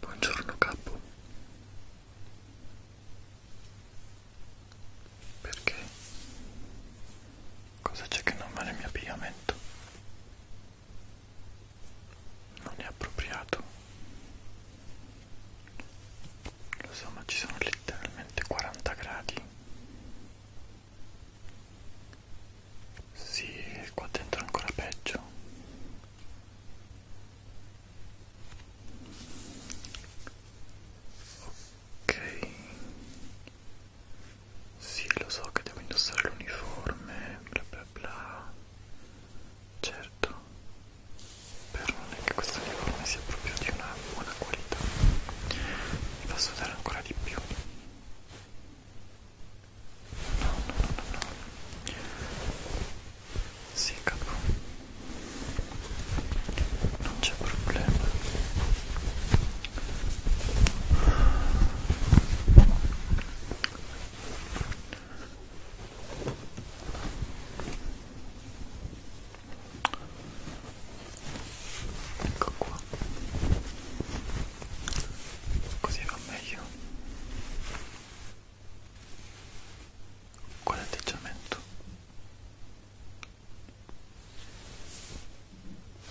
Buongiorno capo. Perché? Cosa c'è che non va nel mio abbigliamento? Non è appropriato. Lo so, ma ci sono letteralmente 40 gradi sì, qua dentro è ancora peggio. Ok. Sì, lo so che devo indossare l'uniforme, bla bla bla. Certo. Però non è che questo uniforme sia proprio di una buona qualità. Mi fa sudare ancora di più no, no, no. Sì, capo. Non c'è problema. Ecco qua così va meglio con l'atteggiamento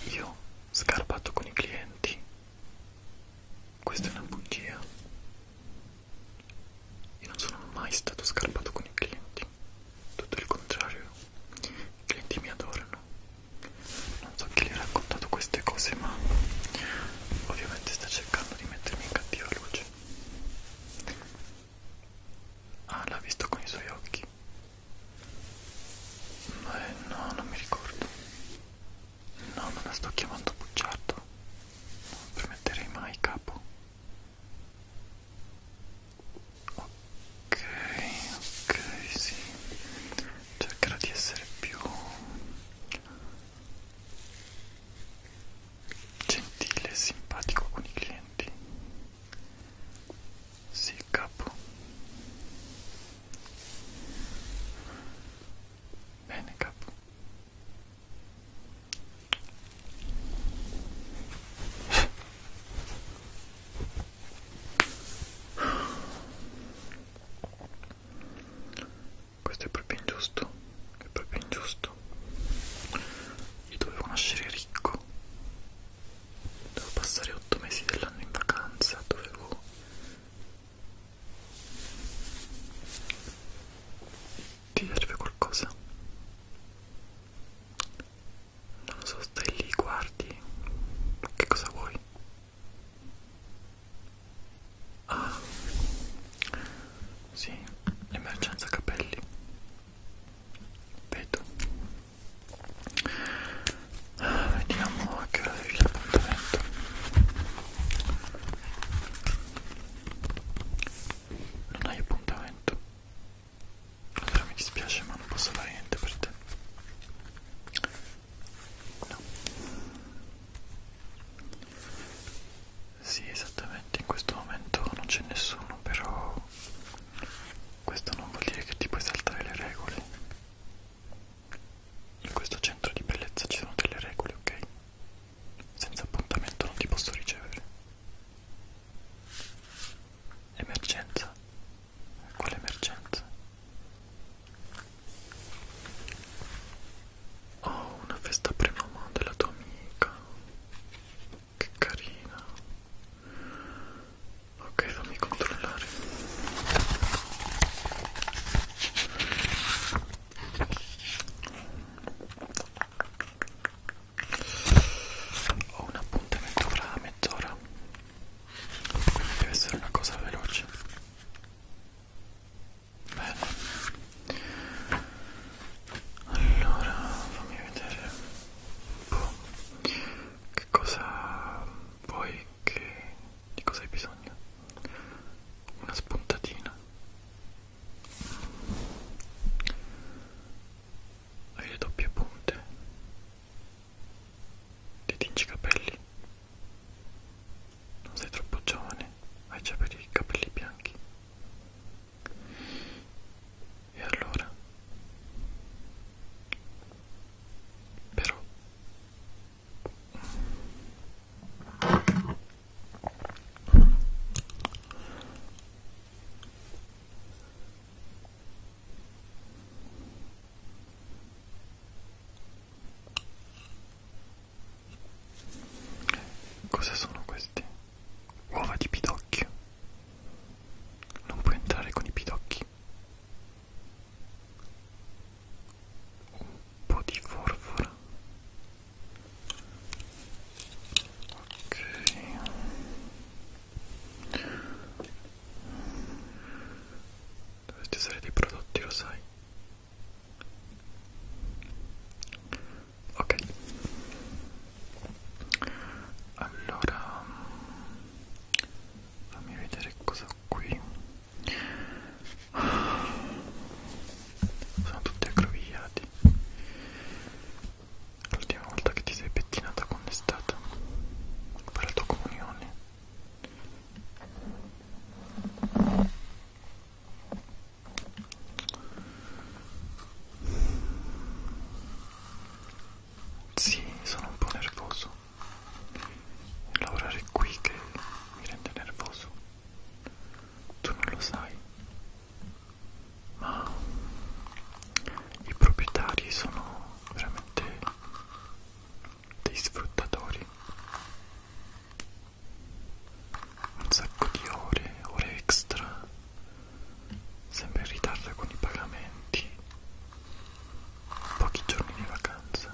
io scarpato con i clienti questa è una bugia io non sono mai stato scarpato con i clienti tutto il contrario i clienti mi adorano. Non so chi gli ha raccontato queste cose, ma ovviamente sta cercando di mettermi in cattiva luce. Ah, l'ha visto con i suoi occhi. Eh, no, non mi ricordo. No, non la sto chiamando bugiardo. Non permetterei mai capo ok ok sì cercherò di essere più gentile e simpatico con i clienti sì capo bene capo questo è proprio ingiusto, è proprio ingiusto. Io dovevo nascere ricco. Devo passare 8 mesi dell'anno in vacanza, dovevo... Ti serve qualcosa? Non lo so, stai lì, guardi. Che cosa vuoi? Ah, sì, emergenza capelli. Vedo. Ah, vediamo a che ora arrivi l'appuntamento. Non hai appuntamento. Allora mi dispiace ma non posso fare niente per te. No. Sì, esattamente, in questo momento non c'è nessuno, però questo non vuol dire che ti puoi saltare le regole. In questo centro di bellezza ci sono delle regole, ok? Senza appuntamento non ti posso ricevere. Emergenza, con l'emergenza. Oh, una festa premamma della tua amica. Che carina. Ok, fammi controllare. Ho un appuntamento fra mezz'ora quindi deve essere una cosa veloce bene allora fammi vedere boh. che cosa vuoi che di cosa hai bisogno una spuntatina hai le doppie punte ti tingi i capelli? Non sei troppo giovane, hai già per i capelli bianchi. E allora? Però... Cosa sono questi? Uova di pidocchio. Non puoi entrare con i pidocchi. Un po' di forfora. Ok dovresti usare dei prodotti, lo sai. Ok. Allora mm, fammi vedere cosa ho qui. Sono tutti aggrovigliati. L'ultima volta che ti sei pettinata quando è stata? Per la tua comunione. Sì, sono un po' nervoso. Lavorare qui che mi rende nervoso. Tu non lo sai. Ma i proprietari sono veramente dei sfruttatori un sacco di ore, ore extra sempre in ritardo con i pagamenti pochi giorni di vacanza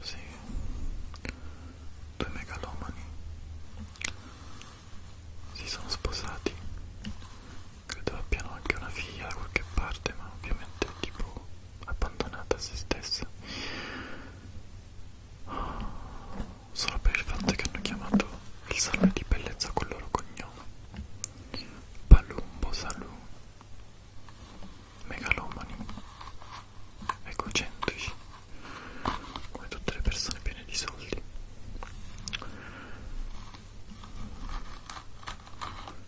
sì due megalomani si sono sposati credo abbiano anche una figlia da qualche parte ma ovviamente tipo abbandonata a se stessa solo per il fatto che hanno chiamato il salone di bellezza col loro cognome Palumbo Salù megalomani egocentrici come tutte le persone piene di soldi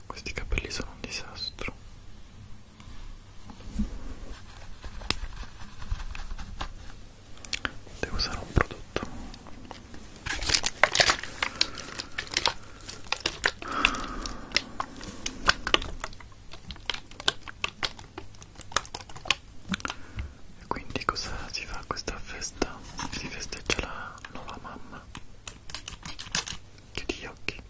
questi capelli sono un disastro. Devo usare un prodotto. E quindi cosa si fa a questa festa? Si festeggia la nuova mamma Chiudi gli occhi.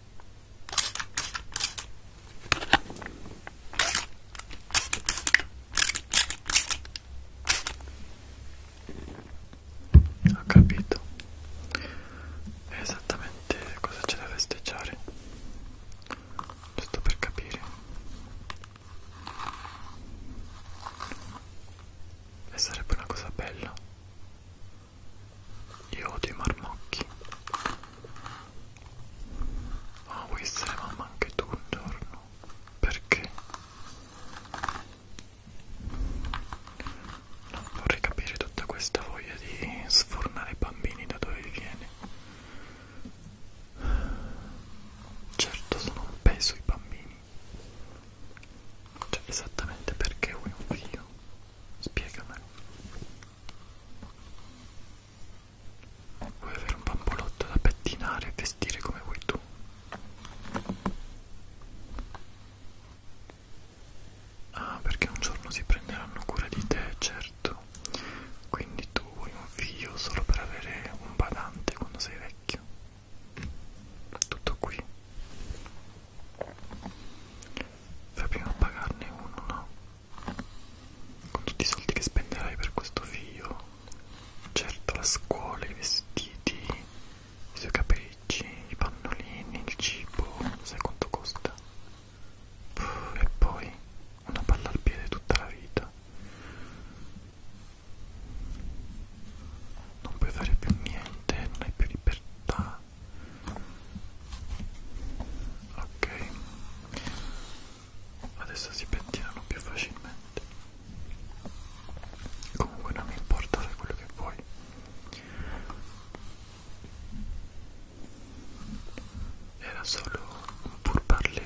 Ho capito. È esattamente cosa c'è da festeggiare. Giusto per capire. E sarebbe una cosa bella io odio i marmocchi. Ma vuoi essere mamma anche tu un giorno? Perché? Non vorrei capire tutta questa voglia di sfornare i bambini da dove viene. Certo sono un peso i bambini, cioè, esattamente perché vuoi un figlio? Spiegamelo. Vuoi avere un bambolotto da pettinare e vestire come vuoi tu? Ah, perché un giorno si prenderanno cura di te, certo. Quindi tu vuoi un figlio solo per avere un badante quando sei vecchio tutto qui fai prima a pagarne uno no? con tutti i soldi che spenderai per questo figlio certo la scuola, i vestiti i suoi capelli, i pannolini, il cibo sai quanto costa? Puh, e poi una palla al piede tutta la vita non puoi fare più niente, non hai più libertà. Ok, adesso si pettinano più facilmente. Comunque non mi importa fare quello che vuoi. Era solo un pur parlé.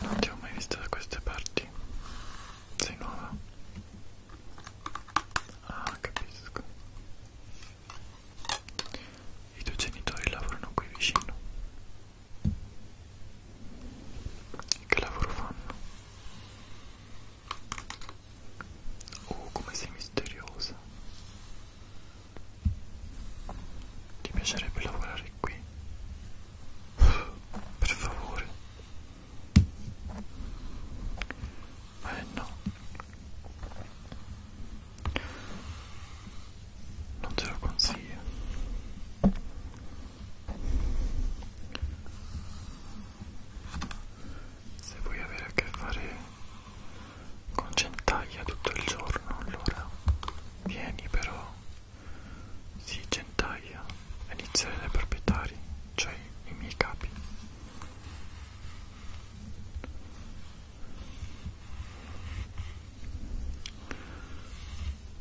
Non ti ho mai visto da queste parti. Sei nuova? Ah, capisco. I tuoi genitori lavorano qui vicino. Che lavoro fanno? Oh, come sei misteriosa. Ti piacerebbe lavorare qui? Per favore. Eh no. Non te lo consiglio se vuoi avere a che fare con centaglia tutto il giorno allora vieni però si centaglia a iniziare dai proprietari cioè i miei capi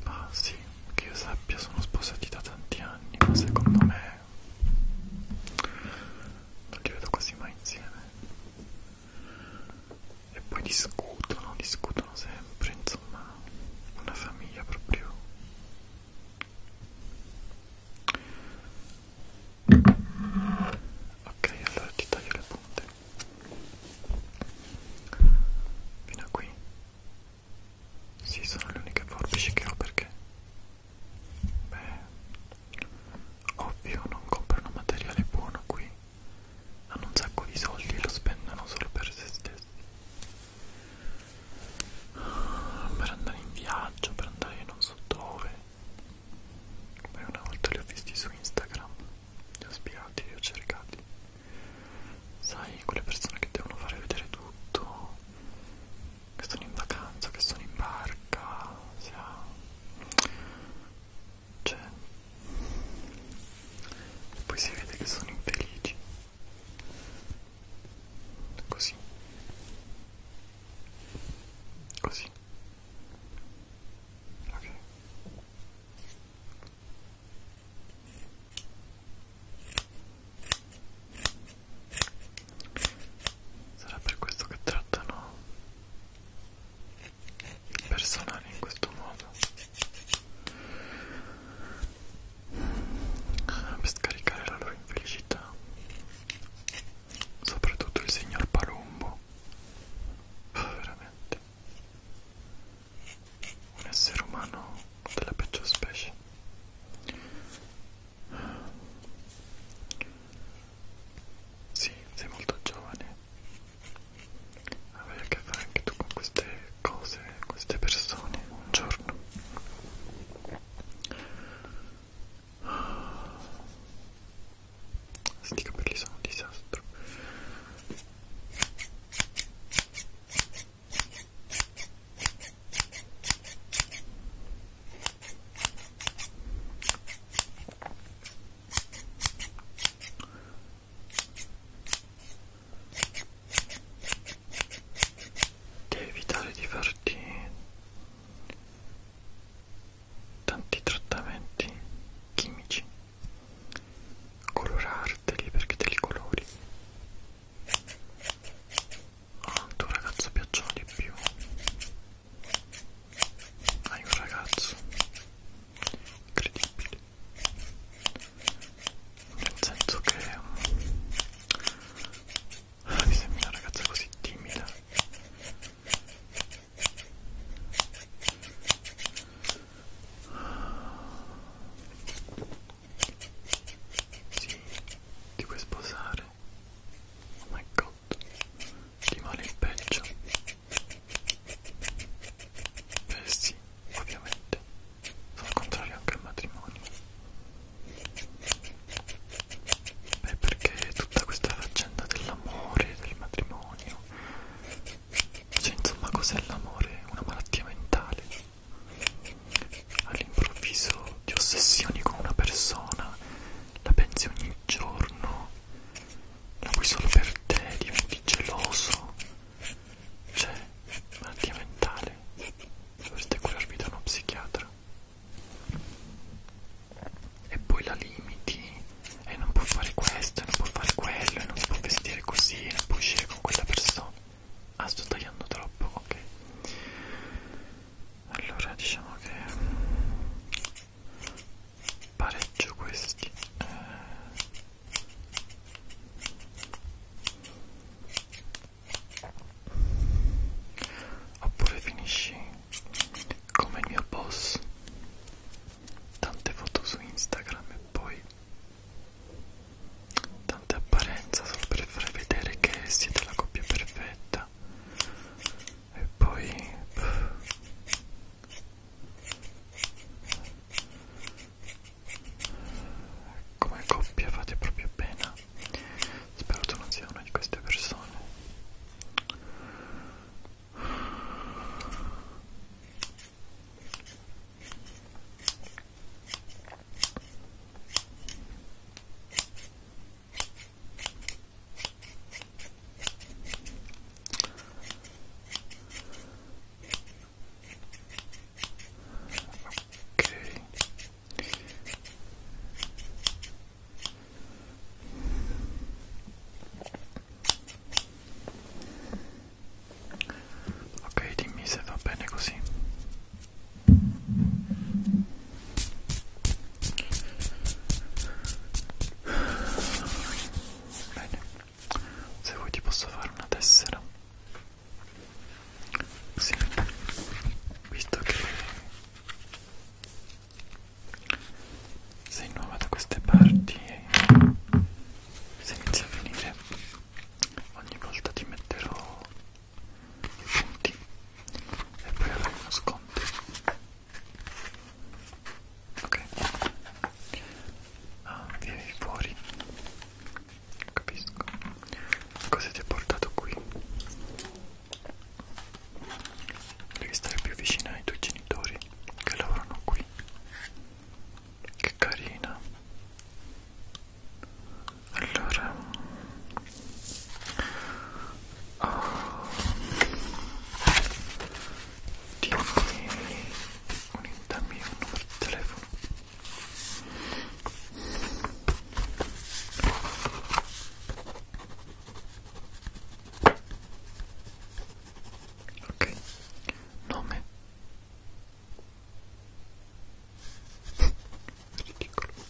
ma sì, che io sappia sono sposati da tanti anni, ma secondo me non li vedo quasi mai insieme e poi discutono, discutono sempre, insomma, una famiglia proprio ok, allora ti taglio le punte fino a qui sì, sono le uniche forbici che ho perché, beh, ovvio non comprano materiale buono qui, hanno un sacco di soldi e lo spendono solo per se stessi. Per andare in viaggio, per andare non so dove. Beh, una volta li ho visti su Instagram, li ho spiegati, li ho cercati. Sai, quelle persone che devono fare vedere tutto che sono in vacanza, che sono in barca, sia... cioè... E poi si vede che sono infelici. Così. Così. Ok. Sarà per questo che trattano il personale in questo modo. Per scaricare la loro infelicità. Soprattutto il signor Palumbo. Oh, veramente. Un essere umano della peggio specie. Sì, sei molto giovane. Avrai a che fare anche tu con queste cose, queste persone, un giorno. Ah, sti capelli sono un disastro. Devi evitare di farti tanti trattamenti chimici, colorarteli perché te li colori. Quanto un ragazzo piacciono di più? Hai un ragazzo incredibile, nel senso che ah, mi sembra una ragazza così timida. Sì, ti puoi sposare. Oh my god, ti male il peggio. Beh sì, ovviamente. Sono contrario anche al matrimonio. Beh perché tutta questa faccenda dell'amore, del matrimonio... Cioè insomma cos'è l'amore? Una malattia mentale all'improvviso ti ossessioni con una persona, la pensi ogni giorno, la vuoi solo per te, diventi geloso, c'è cioè, malattia mentale, dovreste curarvi da uno psichiatra. E poi la limiti, e non può fare questo, e non può fare quello, e non si può vestire così, e non può uscire con quella persona. Ah, sto tagliando troppo, ok allora diciamo che mm, pareggio questi eh, oppure finisci come il mio boss tante foto su Instagram e poi tante apparenze solo per far vedere che siete la coppia perfetta e poi come coppia fate proprio pena spero tu non sia una di queste persone Ok. Ok, dimmi se va bene così. Bene, se vuoi ti posso fare una tessera. Sì, visto che sei nuova da queste parti se inizi a venire ogni volta ti metterò i punti e poi avrai uno sconto ok ah, vieni fuori capisco cosa ti ha portato qui devi stare più vicina ai tuoi genitori che lavorano qui che carina allora oh, dimmi un, dammi un numero di telefono ok nome ridicolo